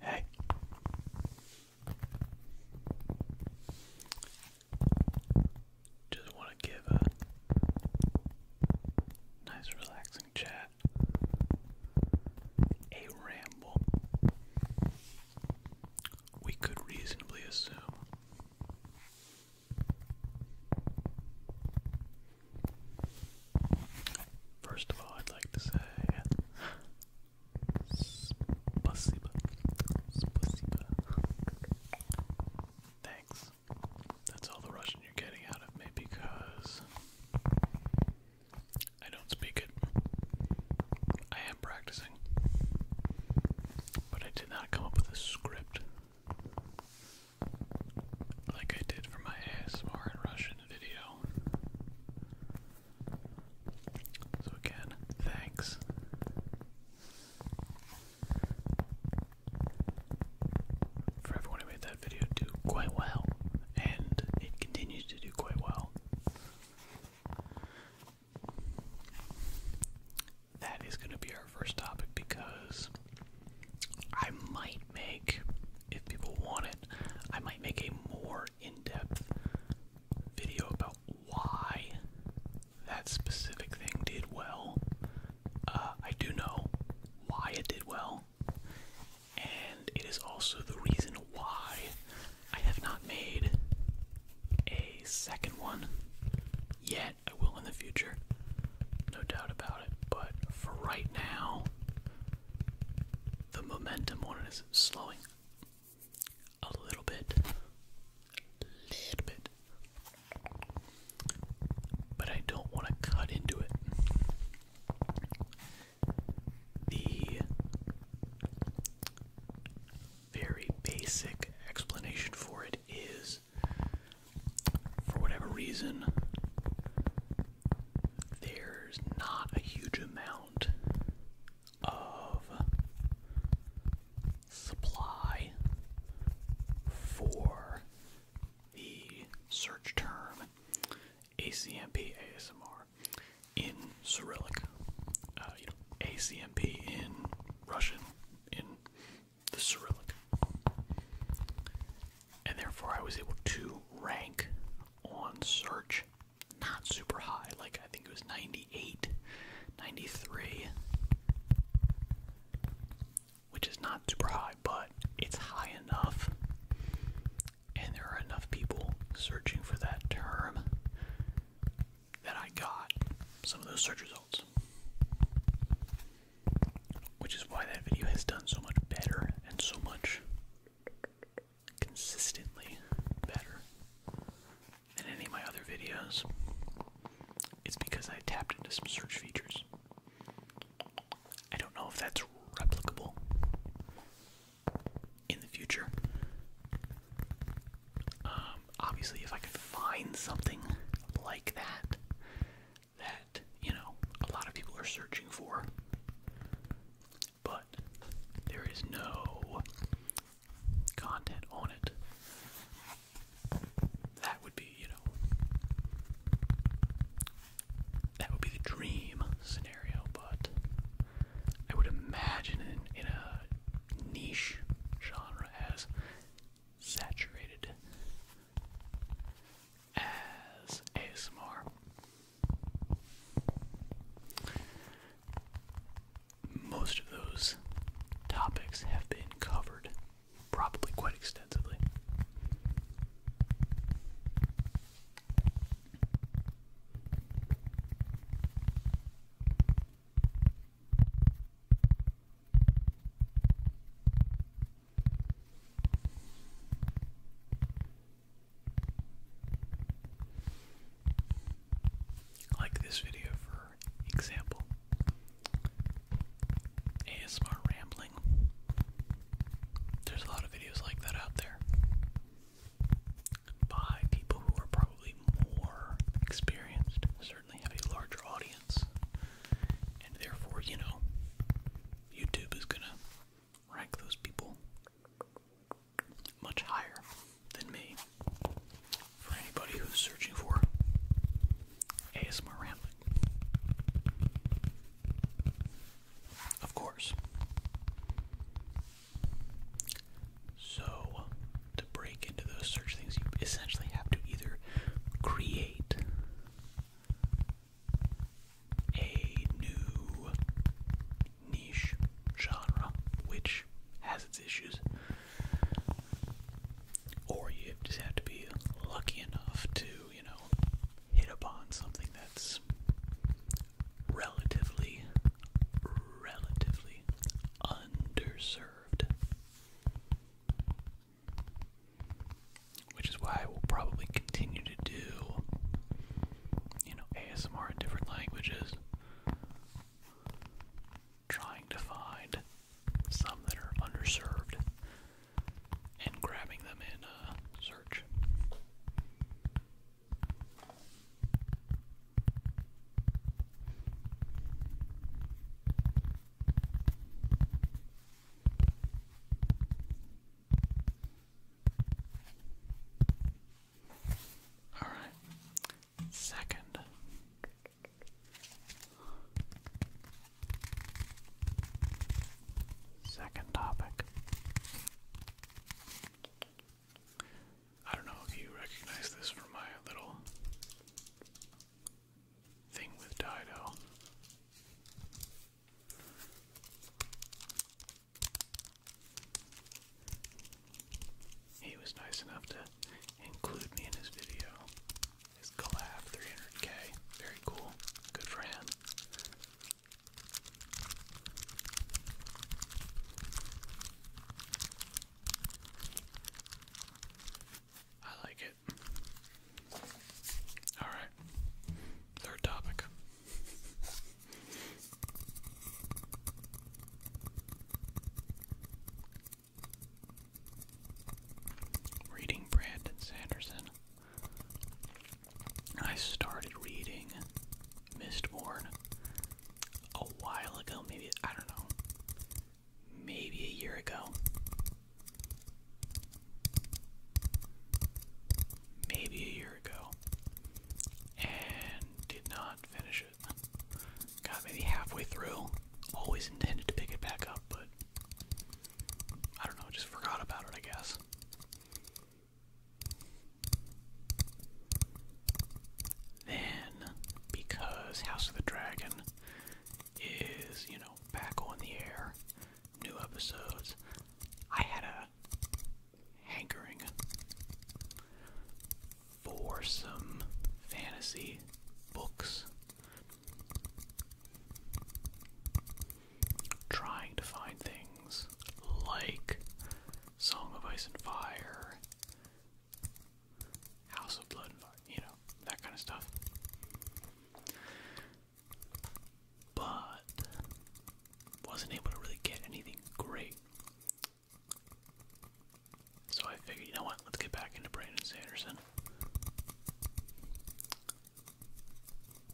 Hey. Just want to give a nice, relaxing chat, a ramble. We could reasonably assume first of all I'd like to say Thanks. That's all the Russian you're getting out of me because I don't speak it. I am practicing. But I did not come up with a script like I did for my ASMR in Russian video. So again, thanks. For everyone who made that video do quite well, and it continues to do quite well. That is going to be our first topic because I might make, if people want it, I might make a more in-depth video about why that specific thing did well. Uh, I do know why it did well, and it is also the reason why I have not made a second one yet. I will in the future, no doubt about it, but for right now, the momentum on it is slowing a little bit, a little bit, but I don't want to cut into it. The very basic explanation for it is for whatever reason, there's not a huge amount of supply for the search term ACMP ASMR in Cyrillic, uh, you know, ACMP in Russian, in the Cyrillic. And therefore, I was able to rank on search. Not super high, like I think it was 98, 93, which is not super high, but it's high enough, and there are enough people searching for that term that I got some of those search results. Which is why that video has done so much better and so much consistently better than any of my other videos, it's because I tapped into some search features. I don't know if that's replicable in the future. Um, obviously, if I could find something like that, that, you know, a lot of people are searching for, but there is no content on it. That would be, you know, that would be the dream scenario, but I would imagine in, in a niche genre as saturated as ASMR. Most of those topics have been covered, probably quite extensively. Like this video, for example. ASMR rambling. There's a lot of videos like that out there by people who are probably more experienced, certainly have a larger audience, and therefore, you know, YouTube is gonna rank those people much higher than me for anybody who's searching for ASMR Of course. So, to break into those search things, you essentially have to either create a new niche genre, which has its issues, or you just have to be lucky enough to, you know, hit upon something that's relatively, relatively underserved. Which is why I will probably continue to do, you know, ASMR in different languages trying to find some that are underserved and grabbing them in uh, search. All right. Second. Second topic. I don't know if you recognize this from my little thing with Dido. He was nice enough to include me in his video. His collab 300k. Very cool. Good for I like it. Alright. Third topic. Reading Brandon Sanderson. I started reading Mistborn a while ago, maybe, I don't know, maybe a year ago. Maybe a year ago. And did not finish Got maybe halfway through. Always intended to pick it back up, but I don't know, just forgot about it, I guess. Then, because House of the Dragon is, you know, back on the air, new episodes, I had a hankering for some fantasy books, trying to find things like Song of Ice and Fire, House of Blood and Fire, you know, that kind of stuff. But wasn't able to really get anything great. So I figured, you know what, let's get back into Brandon Sanderson.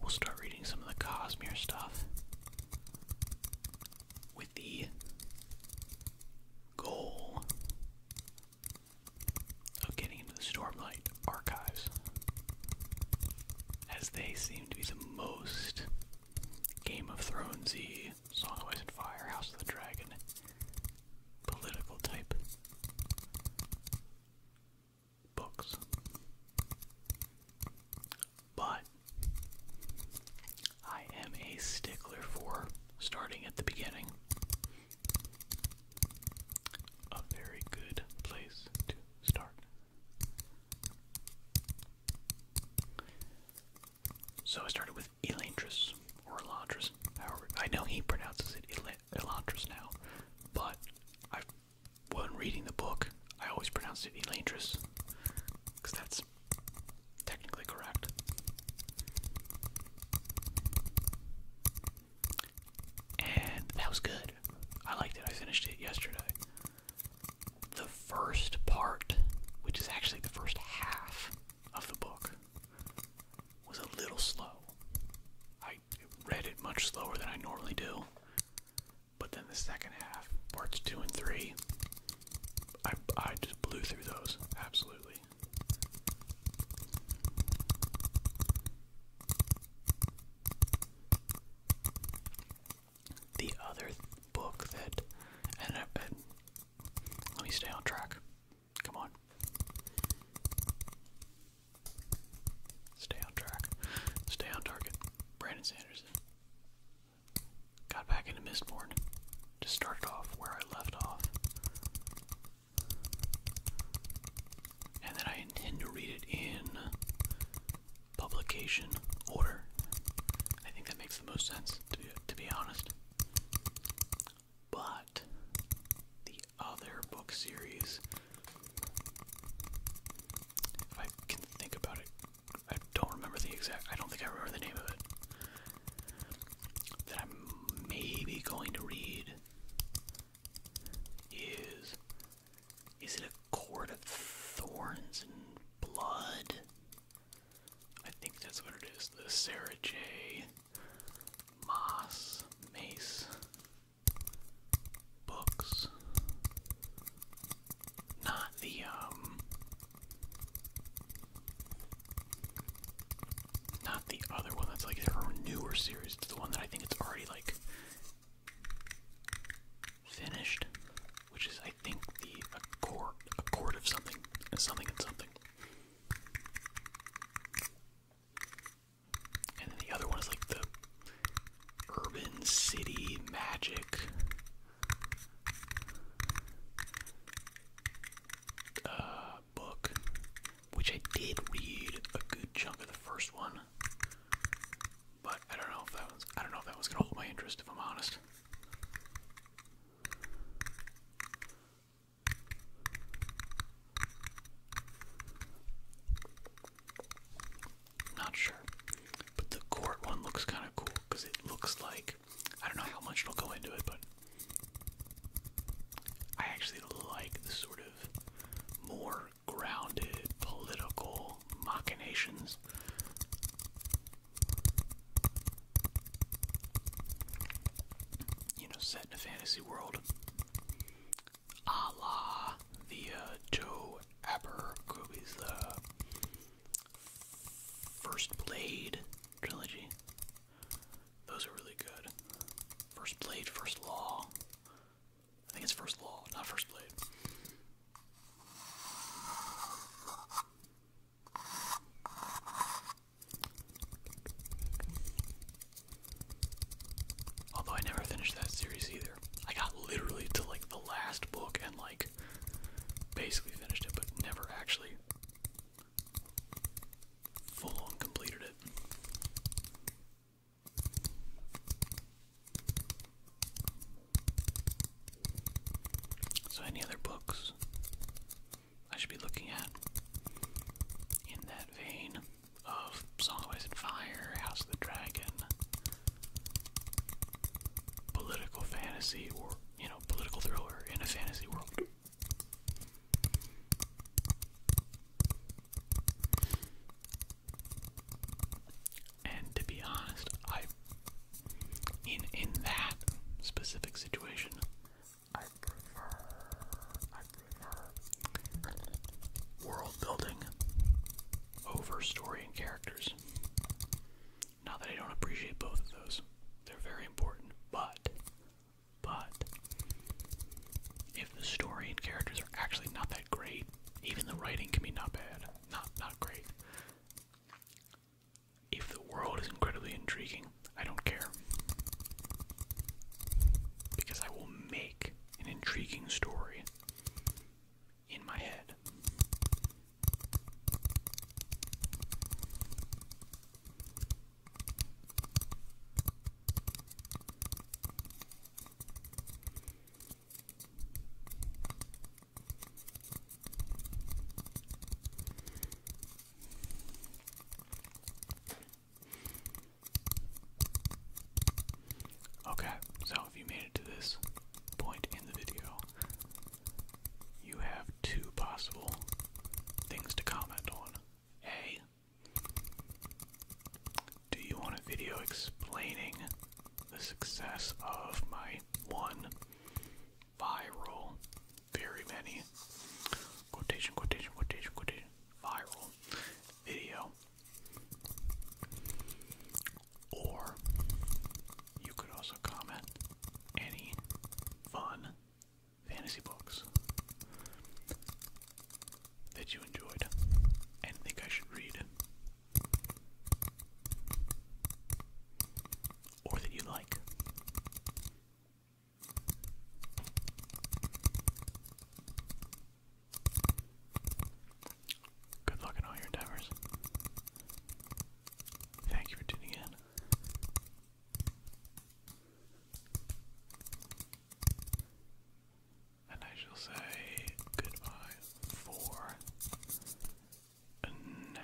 We'll start reading some of the Cosmere stuff with the goal of getting into the Stormlight archives, as they seem to be the most Game of Thrones Z, Song of Ice and Fire, House of the Dragon, political type books. But I am a stickler for starting at the beginning. A very good place to start. So I started with Elantris, or Elantris, however. I know he pronounces it El now, but I, when reading the book, I always pronounce it Elantris, because that's technically correct. And that was good. I liked it. I finished it yesterday the first part, which is actually the first half of the book, was a little slow. I read it much slower than I normally do, but then the second half, parts two and three, I, I just blew through those, absolutely. The other book that, and, let me stay on track. Come on. Stay on track. Stay on target. Brandon Sanderson. Got back into Mistborn. Just started off where I left off. And then I intend to read it in publication order. I think that makes the most sense, to be, to be honest. But the other book series, if I can think about it, I don't remember the exact, I don't think I remember the name of it. That I'm maybe going to read is. Is it a Court of Thorns and Blood? I think that's what it is. The Sarah J. Moss Mace books. Not the, um. Not the other one that's like their newer series. It's the one that I think it's already like. Finished which is I think the accord accord of something something and something. And then the other one is like the urban city magic uh, book, which I did read a good chunk of the first one, but I don't know if that was I don't know if that was gonna hold my interest if I'm honest. Not sure. But the court one looks kind of cool because it looks like. I don't know how much it'll go into it, but. I actually like the sort of more grounded political machinations you know, set in a fantasy world, a la the uh, Joe Abercrombie's uh, First Blade trilogy. Those are really good. First Blade, First Law. I think it's First Law, not First Blade. Although I never finished that series either. I got literally to like the last book and like basically finished it, but never actually full on completed it. So, any other books? I should be looking at in that vein of Song of Ice and Fire, House of the Dragon, political fantasy, or, you know, political thriller in a fantasy world. And to be honest, I in in that specific situation, I prefer, world building over story and characters. Not that I don't appreciate both of those, they're very important, but, but, if the story and characters are actually not that great, even the writing can be not bad, not, not great. If the world is incredibly intriguing, I don't care. Because I will make an intriguing story in my head. Okay, so if you made it to this point in the video, you have two possible things to comment on. A. Do you want a video explaining the success of my one viral. Very many. Quotation, quotation, quotation, quotation. Viral video. Or you could also comment any fun fantasy books that you enjoyed and think I should read. Or that you like. Good luck in all your endeavors. Thank you for tuning in. And I shall say goodbye for now.